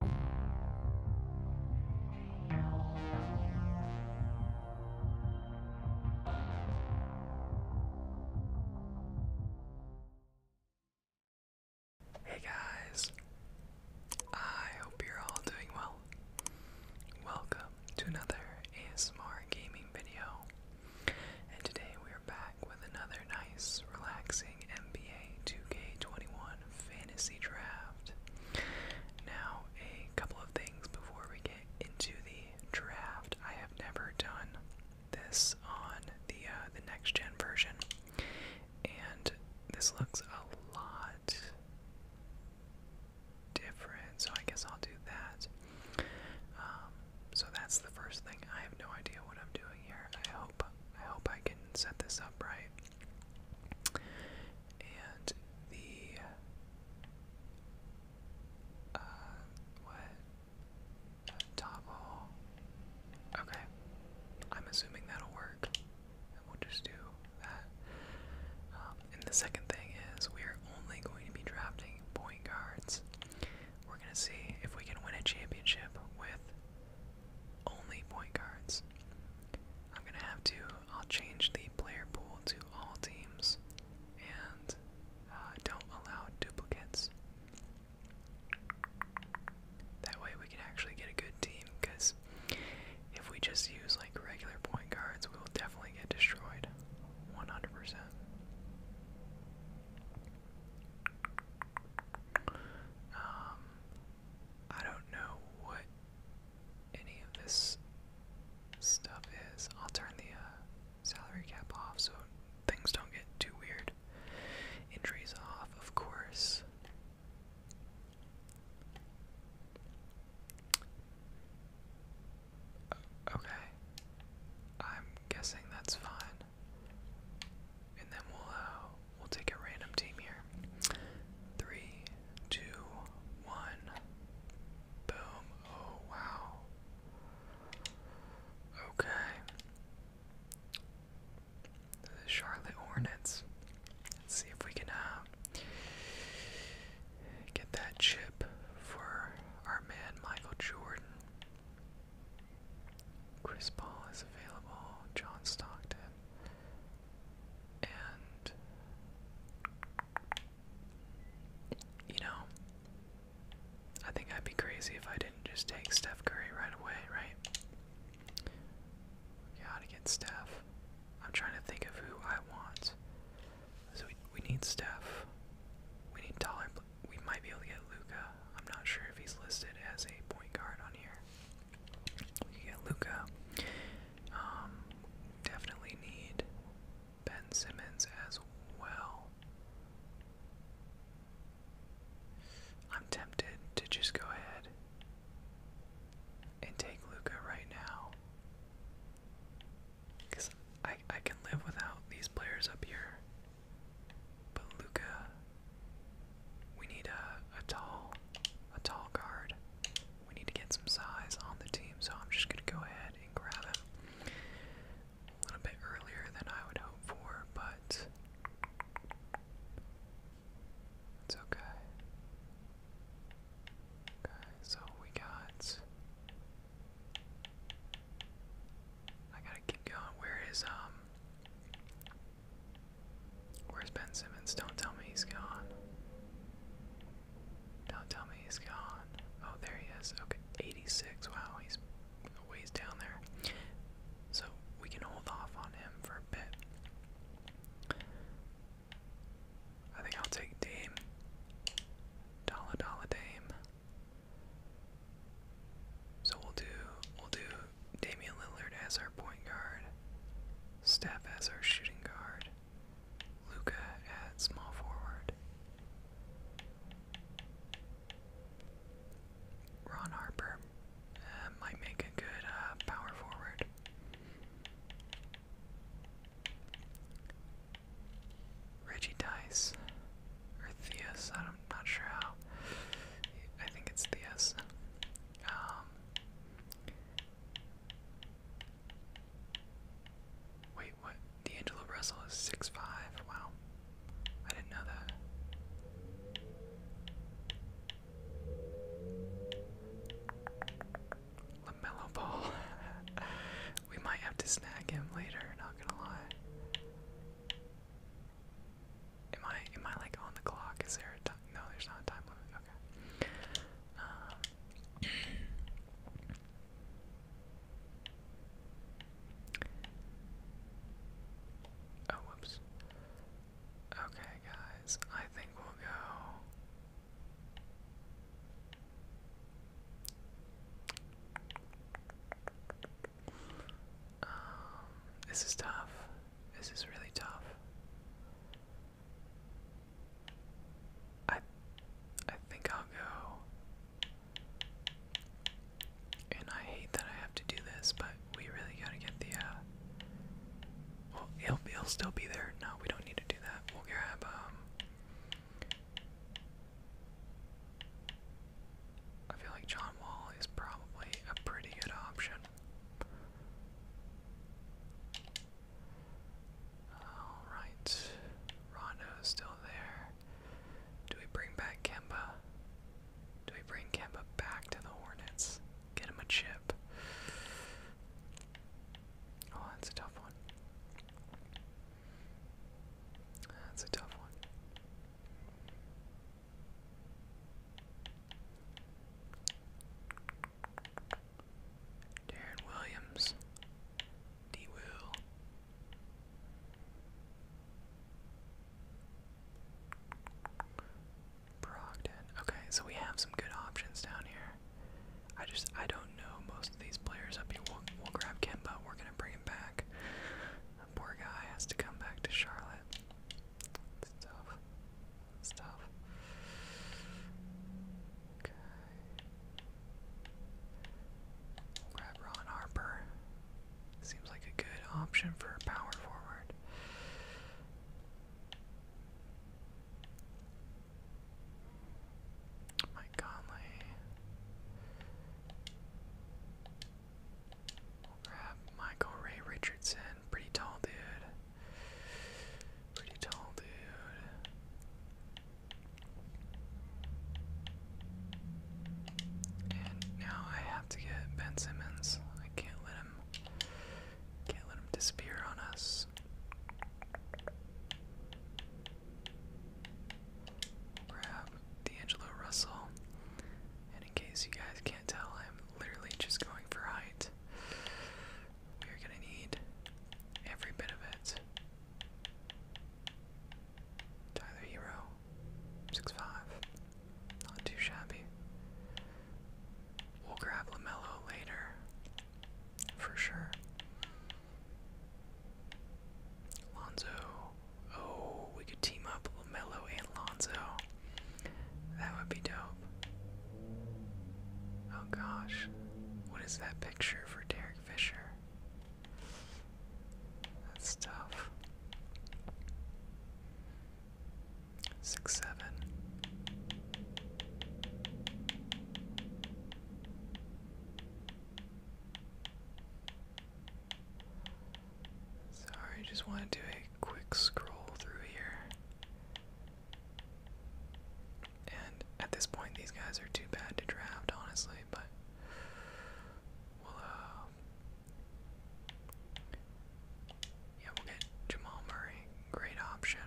Hey guys, I hope you're all doing well. Welcome to another ASMR gaming video, and today we are back with another nice, relaxing amazing NBA 2K21 fantasy draft. Now, a couple of things before we get into the draft. I have never done this on the uh, the next gen version, and this looks a lot different. So I guess I'll do that. Um, so that's the first thing. I have no idea what I'm doing here. I hope I hope I can set this up right. And the uh what toggle okay I'm assuming that'll work and we'll just do that um, and the second thing is we're only going to be drafting point guards we're gonna see if we can win a championship with only point guards. I'm gonna have to, I'll change the player pool to all teams and uh, don't allow duplicates. That way we can actually get a good team because if we just use like regular point guards, we will definitely get destroyed 100%. I don't know what any of this stuff is. I'll turn the uh, salary cap off so things don't get too weird. Injuries off, of course. Okay. I'm guessing that's fine and then we'll uh, we'll take a random team here. Three, two, one. Boom. Oh wow. Okay. Charlotte Hornets. Let's see if we can uh, get that chip for our man Michael Jordan. Chris Paul is available. John Stockton. And you know, I think I'd be crazy if I didn't just take Steph Curry right away, right? We gotta get Steph. I'm trying to think of who I want. So we we need Steph. We need Dollar. We might be able to get Luca. I'm not sure if he's listed as a point guard on here. We get Luca. Um, definitely need Ben Simmons as well. I'm tempted to just go ahead and take Luca right now. Because I, I can live without these players up here. But Luca we need a, a tall, a tall guard. We need to get some size on the team, so I'm just gonna go ahead and grab him a little bit earlier than I would hope for, but it's okay. Okay, so we got. I gotta keep going. Where is um? Where's Ben Simmons? Don't tell me he's gone. Don't tell me he's gone. Oh, there he is. Okay, 86. Wow, he's a down there. So we can hold off on him for a bit. I think I'll take Dame. Dollar Dollar Dame. So we'll do we'll do Damian Lillard as our point guard, Steph as our shooting guard, Luca at small forward, Ron Harper uh, might make a good uh, power forward. Reggie Dice or Theus, I'm not sure how. I think it's Theus. Um, wait, what? D'Angelo Russell is six five. Wow, I didn't know that. Lamelo Ball. we might have to snag him later. Not gonna lie. Am I am I like on the clock? Is there a time? No, there's not a time limit. Okay. Um, oh, whoops. Okay, guys. I think we'll go. Um, this is tough. This is really tough. I I think I'll go. And I hate that I have to do this, but we really gotta get the uh, well he'll he'll still be there. No, we don't need to do that. We'll grab um, I feel like John Wall is probably a pretty good option. Alright. Rondo's still there. Do we bring back Kemba? Do we bring Kemba back to the Hornets? Get him a chip. Oh, that's a tough one. That's a tough one. Darren Williams, D. Will. Brogdon. Okay, so we have some good options down here. I just I don't know most of these players up here. We'll, we'll grab Kemba. We're gonna bring him back. poor guy has to come back to Charlotte. It's tough. Okay. Grab Ron Harper. Seems like a good option for a power forward. Mike Conley. Grab Michael Ray Richardson. Pretty tall dude. Pretty tall dude. And now I have to get Ben Simmons. I can't let him can't let him disappear on us. Grab D'Angelo Russell. And in case you guys can't I'm literally just going for height. We're gonna need every bit of it. Tyler Hero, six five, not too shabby. We'll grab Lamelo later, for sure. Lonzo, oh, we could team up Lamelo and Lonzo. That would be dope. Oh gosh. What is that picture for Derek Fisher? That's tough. Six, seven. Sorry, just want to quick scroll through here. And at this point, these guys are too bad to draft, honestly, but we'll, uh, Yeah, we'll get Jamal Murray. Great option.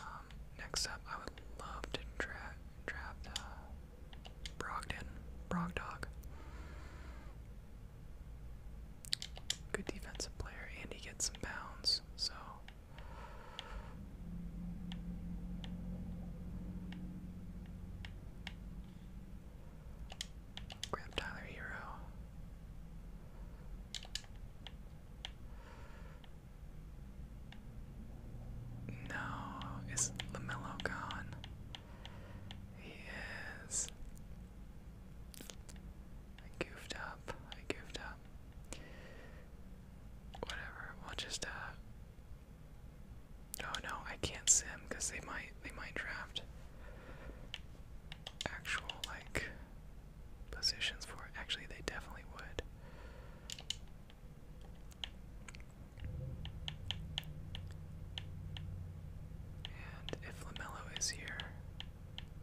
Um, next up, I would love to draft uh, Brogdog. Good defensive player, and he gets some pounds, so. Grab Tyler Hero. No, is LaMelo gone? He I goofed up. I goofed up. Whatever. we just uh. Oh no, I can't sim because they might they might draft actual like positions for Actually, they definitely would. And if LaMelo is here,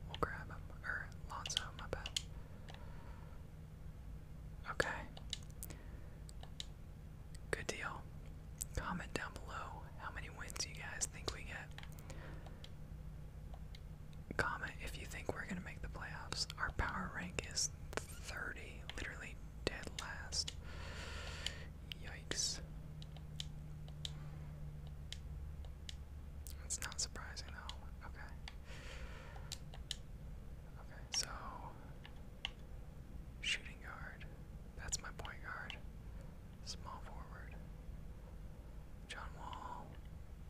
we'll grab him. Or Lonzo, my bad. Okay. Good deal. Comment down below how many wins you guys think we get. Comment if you think we're going to make the playoffs. Our power rank is 30, literally dead last. Yikes. It's not surprising though. Okay. Okay, so shooting guard. That's my point guard. Small forward. John Wall,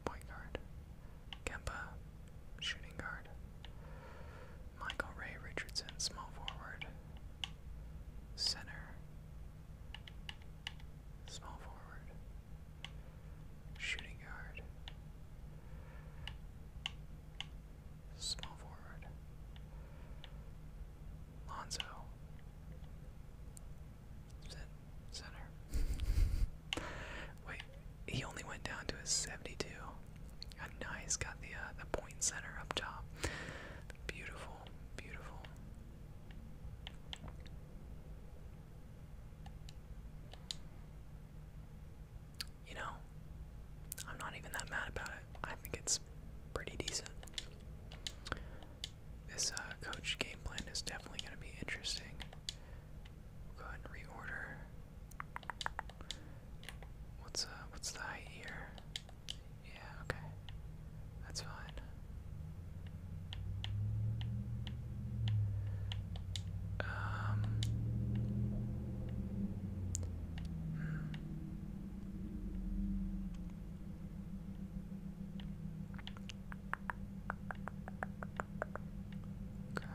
point guard. Kemba, shooting guard. Michael Ray Richardson, small forward. Center. Small forward. Shooting guard. Small forward. Lonzo. Center. Wait, he only went down to his 72. nice, got the uh, the point center up top. Beautiful. Beautiful, You know, I'm not even that mad about it. I think it's pretty decent. This uh, coach game plan is definitely going to be interesting. go ahead and reorder. What's uh, what's the height here? Yeah, okay. That's fine. Um hmm. Okay.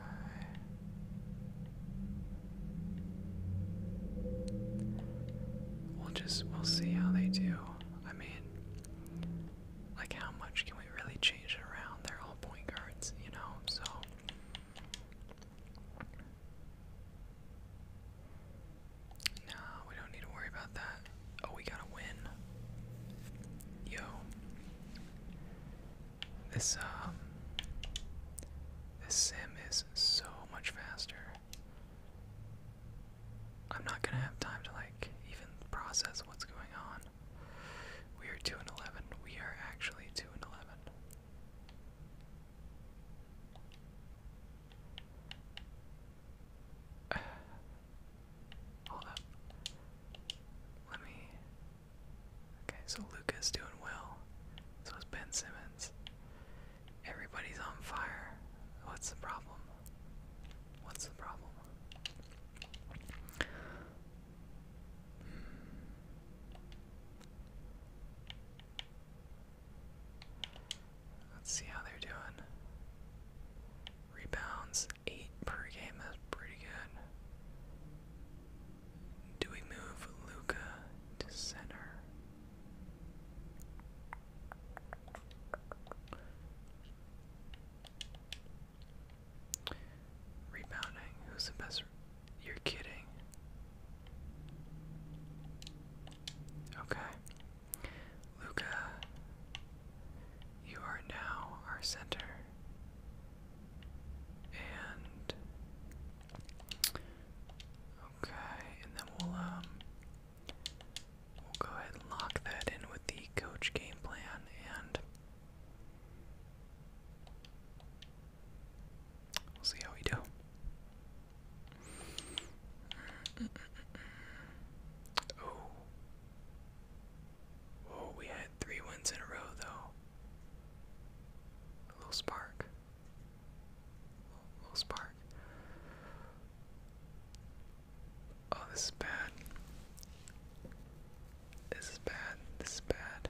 We'll just we'll see how they do. I mean, like, how much can we really change it around? They're all point guards, you know, so. No, we don't need to worry about that. Oh, we gotta win. Yo. This, um. This sim is so much faster. I'm not gonna have time to like even process what's going on. We are two and eleven. We are actually two and eleven. hold up. Let me. Okay, so Luca's doing well. So is Ben Simmons. Everybody's on fire. What's the problem? What's the problem? Hmm. Let's see how they're doing. Rebounds, 8 per game, that's pretty good. Do we move Luca to center? Rebounding. Who's the best? You're kidding. Okay. Luca, you are now our center. And okay, and then we'll um We'll go ahead and lock that in with the coach game plan and we'll see how we do. Oh. Oh, we had three wins in a row though. A little spark spark. Oh, this is bad. This is bad. This is bad.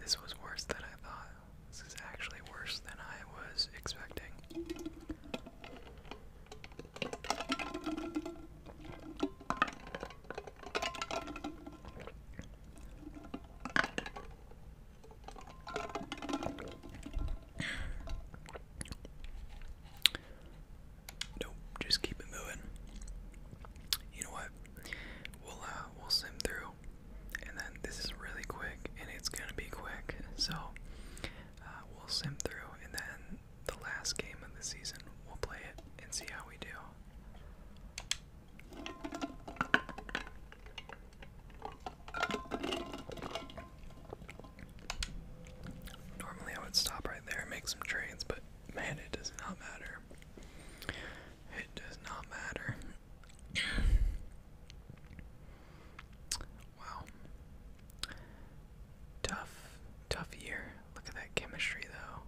This was worse than I thought. This is actually worse than I was expecting. Nope, just keep it moving. You know what? We'll uh, we'll sim through, and then this is really quick, and it's gonna be quick. So uh, we'll sim through, and then the last game of the season, we'll play it and see how we do. Normally I would stop right there and make some trades, but man, it does not matter. It does not matter. wow. Tough, tough year. Look at that chemistry though.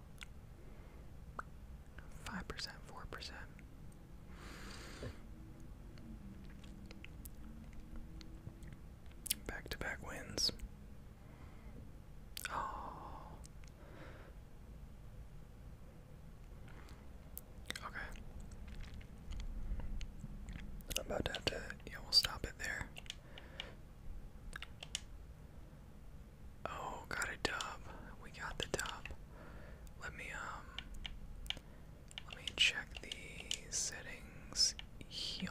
5%, 4%. Back to back wins. Oh. Okay. I'm about to have to, yeah, we'll stop it there. Oh, got a dub. We got the dub. Let me um let me check the settings here.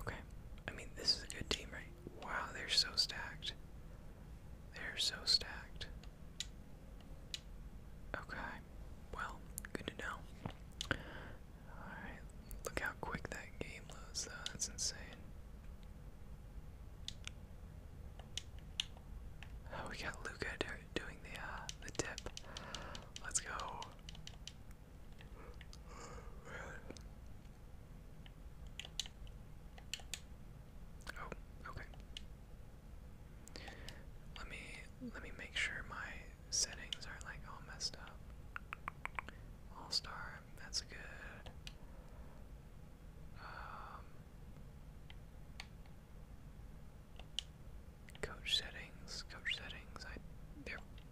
Okay. I mean, this is a good team, right? Wow, they're so stacked. They're so stacked. Okay, well, good to know. Alright, look how quick that game loads, though. That's insane. Oh, we got Luca doing the uh, the tip. Let's go. Oh, okay. Let me let me make sure my settings aren't like all messed up. All star, that's good. Um, coach settings, coach settings. I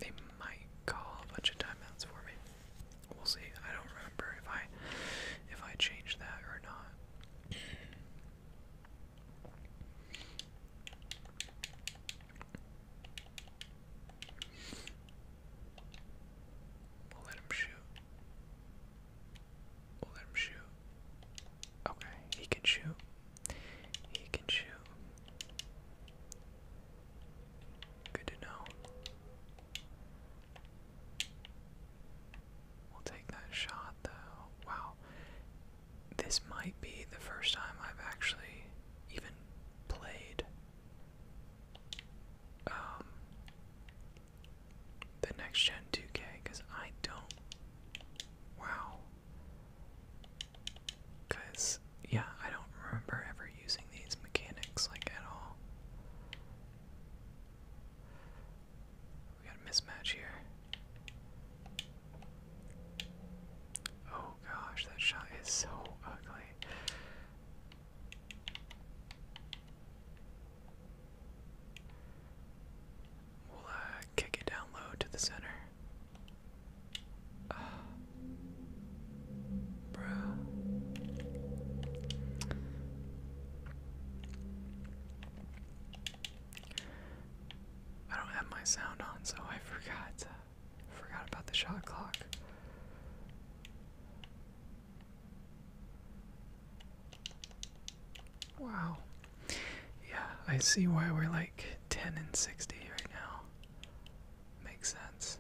they might call a bunch of timeouts for me. We'll see. I don't remember if I if I change that or not. We'll let him shoot. We'll let him shoot. Okay, he can shoot. He can shoot. Good to know. We'll take that shot though. Wow this might be the first time I've actually even played um, the next gen 2K because I don't. Wow. Because, yeah, I don't remember ever using these mechanics like at all. We got a mismatch here. Oh gosh, that shot is so ugly. We'll uh, kick it down low to the center. Uh, I don't have my sound on, so I forgot. forgot about the shot clock. Wow. Yeah, I see why we're like 10 and 60 right now. Makes sense.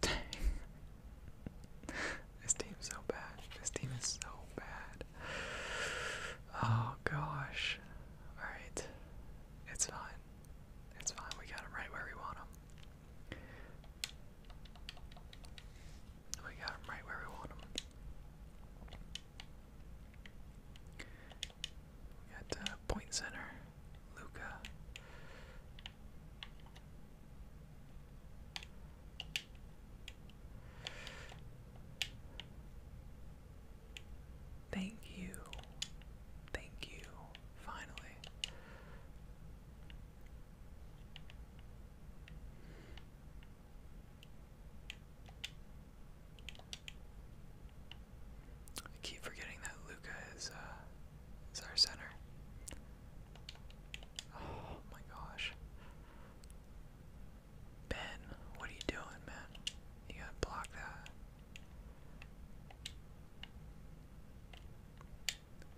Dang. this is so bad. This team is so bad. Oh gosh. Alright. It's fine. It's fine. We got him right where we want him. We got him right where we want him. We point center, Luca. Thank you. Thank you. Finally. I keep forgetting that Luca is uh, is our center. Oh my gosh. Ben, what are you doing, man? You gotta block that.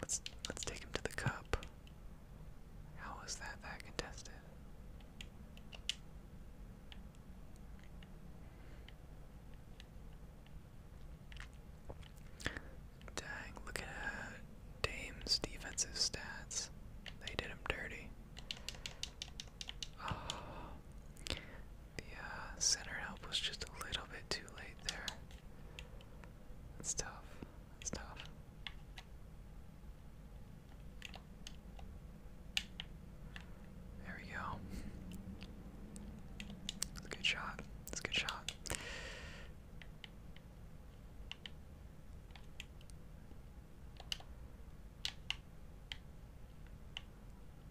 Let's let's take him to the cup. How was that that contested? Dang, look at Dame's defensive stats. They did him dirty. Ah. the uh, center help was just a little bit too late there. That's tough. That's tough. There we go. That's a good shot. That's a good shot.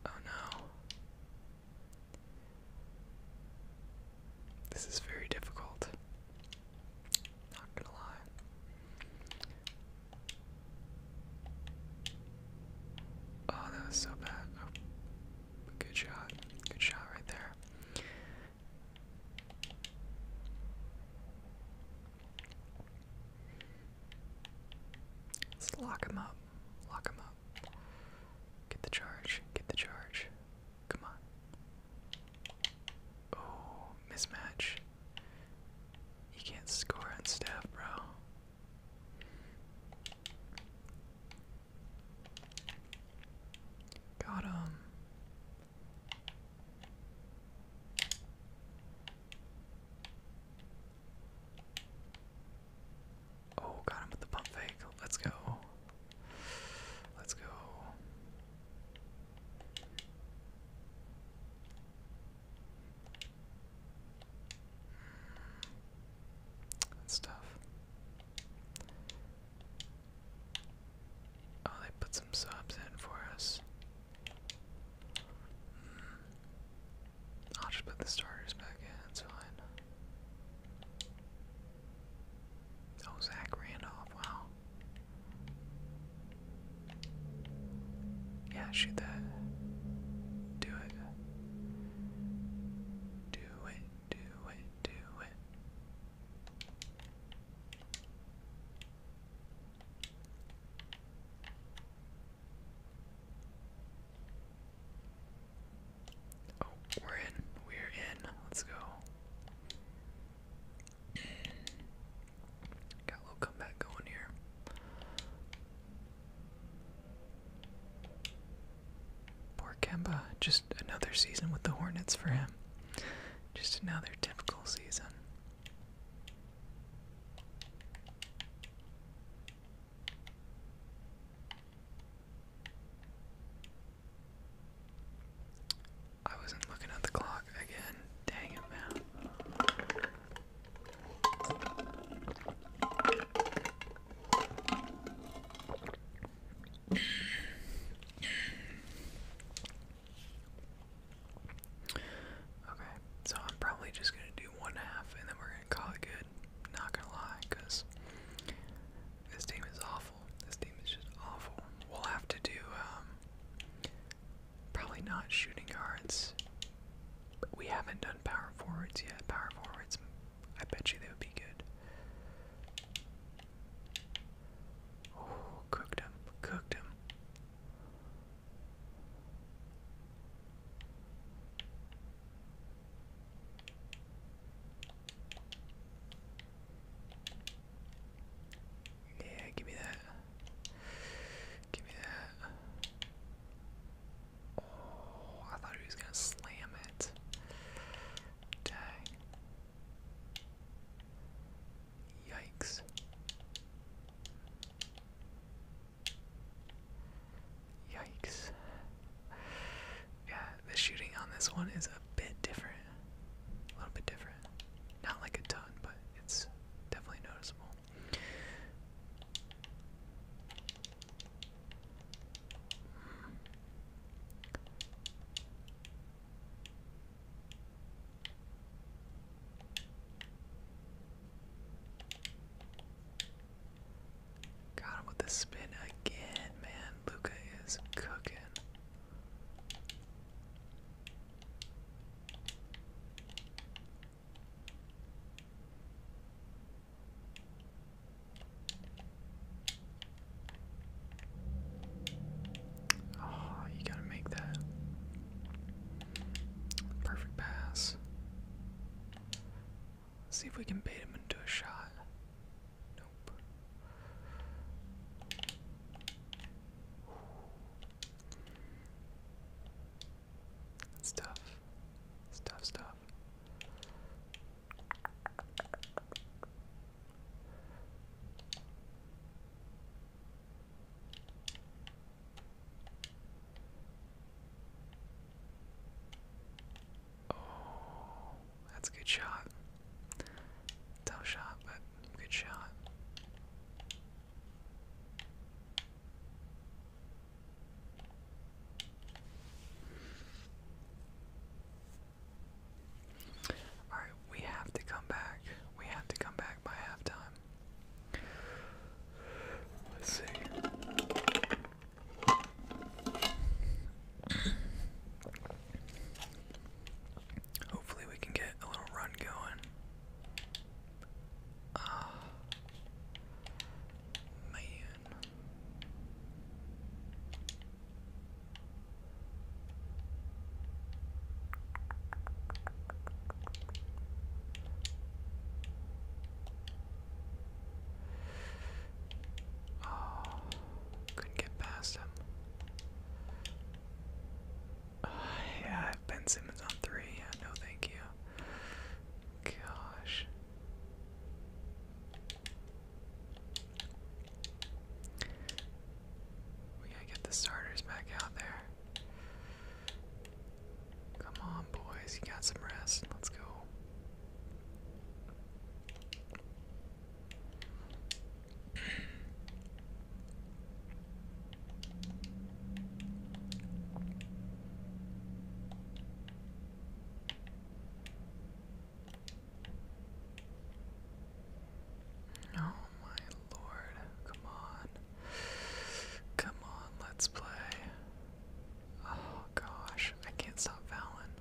Oh no. This is very difficult. Not gonna lie. Oh, that was so bad. Oh, good shot. Good shot right there. Let's lock him up. Lock him up. Get the charge. Get the charge. Come on. Oh, mismatch. You can't score on staff, bro. Got him. Oh, got him with the pump fake. Let's go. Let's go. That's tough. Oh, they put some subs in for us. I'll just put the starters back in, it's fine. Oh, Zach Randolph, wow. Yeah, shoot that. Do it. Do it, do it, do it. Oh, we're in. We're in. Let's go. Got a little comeback going here. Poor Kemba, just another season with the Hornets for him. Just another typical season. I wasn't looking at the clock again. Dang it, man. Okay, so I'm probably just gonna do one half and then we're gonna call it good. Not gonna lie, because this team is awful. This team is just awful. We'll have to do um, Probably not shooting guards. But we haven't done power forwards yet. Power forwards, I bet you they would be good. Oh, cooked him, cooked him. Yeah, give me that. Give me that. Oh, I thought he was gonna slam it. Dang. Yikes. Yikes. Yeah, the shooting on this one is a bit different. A little bit different. Not like a ton, but it's definitely noticeable. Got with the spin again, man. Luca is cooking. Oh, you gotta make that perfect pass. see if we can bait him into a shot. Nope. It's tough. tough stuff. Oh, that's a good shot. Tough shot, but good shot. All right, we have to come back. We have to come back by halftime. Let's see. Hopefully, we can get a little run going. Uh, Man. Oh, couldn't get past him. yeah, Ben Simmons on three. no, thank you. Gosh. We gotta get the starters back out there. Come on, boys. You got some rest. Let's go. Oh my lord, come on. Come on, let's play. Oh gosh, I can't stop Valen.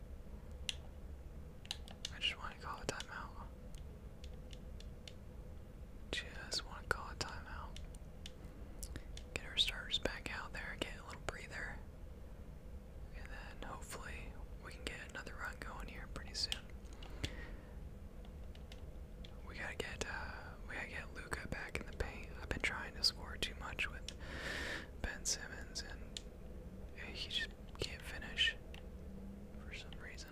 I just want to call a timeout. Just want to call a timeout. Get our starters back out there, get a little breather. And then hopefully we can get another run going here pretty soon. We gotta get uh, we gotta get Luca back in the paint. I've been trying to score too much with Ben Simmons, and he just can't finish for some reason.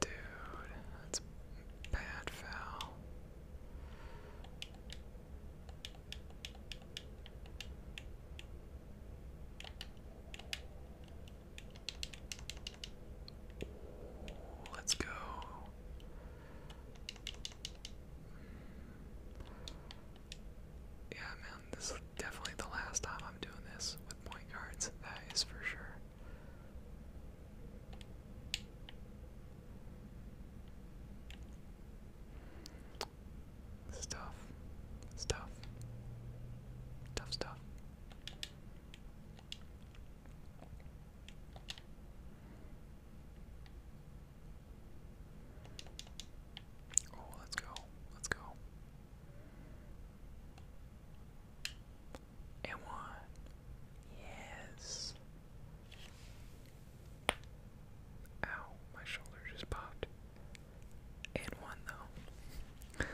Dude, that's bad foul. Let's go. Yeah, man, this is definitely the last time I'm doing this with point guards. That is for sure. This is Tough stuff. Oh, let's go. Let's go. And one. Yes. Ow, my shoulder just popped. And one, though.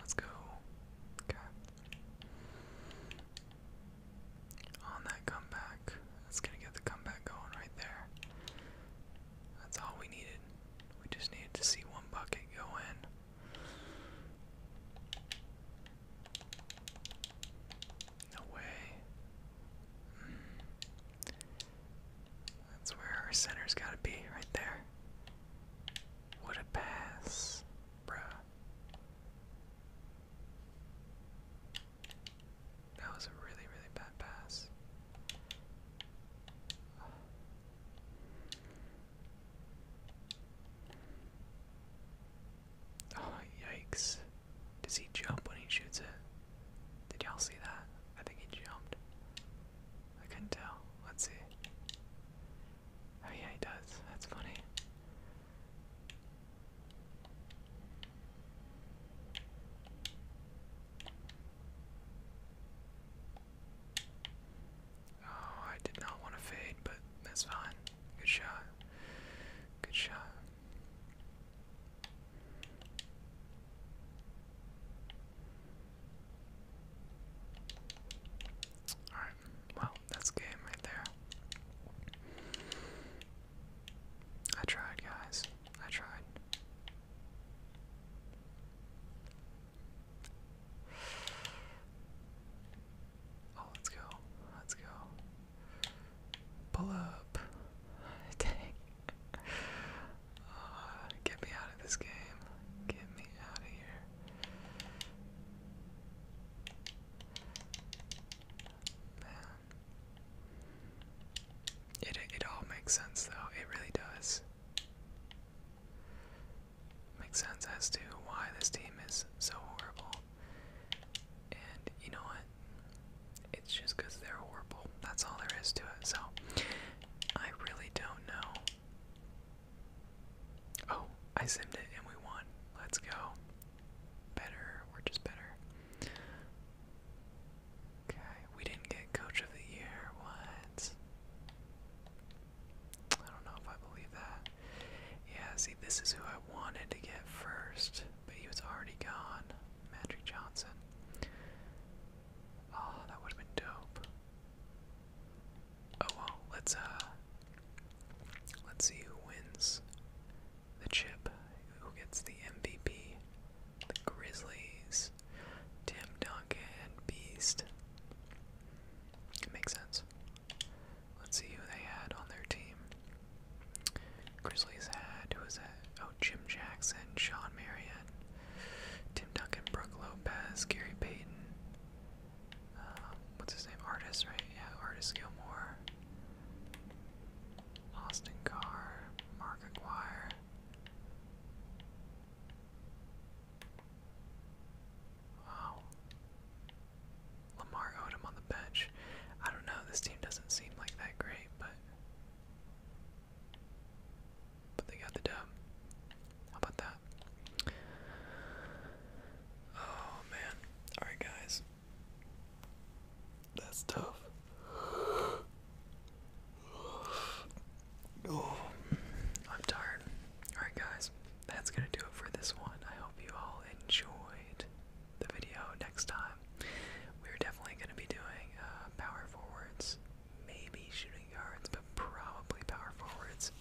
Let's go. Okay. On that comeback. That's gonna get the comeback going right there. That's all we needed. We just needed to see one bucket go in. No way. Hmm. That's where our center's gotta be, right there. What a pass, bruh. That was a really, really bad pass. Oh, yikes. Does he jump when he shoots it? Did y'all see that? I think he jumped. I can not tell. Let's see. Oh yeah, he does. That's funny. Oh, I did not want to fade, but that's fine. Good shot. Good shot. Alright, well, that's game right there. I tried, guys. I tried. Oh, let's go. Let's go. Pull up. Dang get me out of this game. Get me out of here. It, it all makes sense though, it really does. Makes sense as to why this team is so horrible. And you know what? It's just because they're horrible. That's all there is to it. So, I really don't know. Oh, I simmed it and we won. Let's go. Better, we're just better. Okay, we didn't get coach of the year. What? I don't know if I believe that. Yeah, see, this is who I wanted to get first, but he was already gone. Magic Johnson. Oh, that would have been dope. Oh well, let's uh let's see who wins the chip. Who gets the MVP? The Grizzlies. Tim Duncan Beast. It makes sense. Let's see who they had on their team. Grizzlies had who was that? Jim Jackson, Sean Marion, Tim Duncan, Brooke Lopez, Gary Payton. Um, what's his name? Artist, right? Yeah, Artist Gilmore. Austin Carr, Mark Aguirre. Wow. Lamar Odom on the bench. I don't know, this team doesn't seem like that great, but but they got the dub. How about that? Oh man. Alright guys. That's tough. Oh, I'm tired. Alright guys, that's gonna do it for this one. I hope you all enjoyed the video next time. We're definitely gonna be doing uh, power forwards maybe shooting guards, but probably power forwards,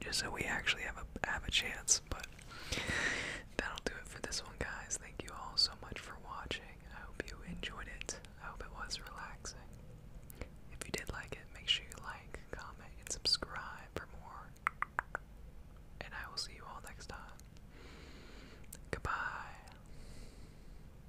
just so we actually have a have a chance. But that'll do it for this one, guys. Thank you all so much for watching. I hope you enjoyed it. I hope it was relaxing. If you did like it, make sure you like, comment, and subscribe for more. And I will see you all next time. Goodbye.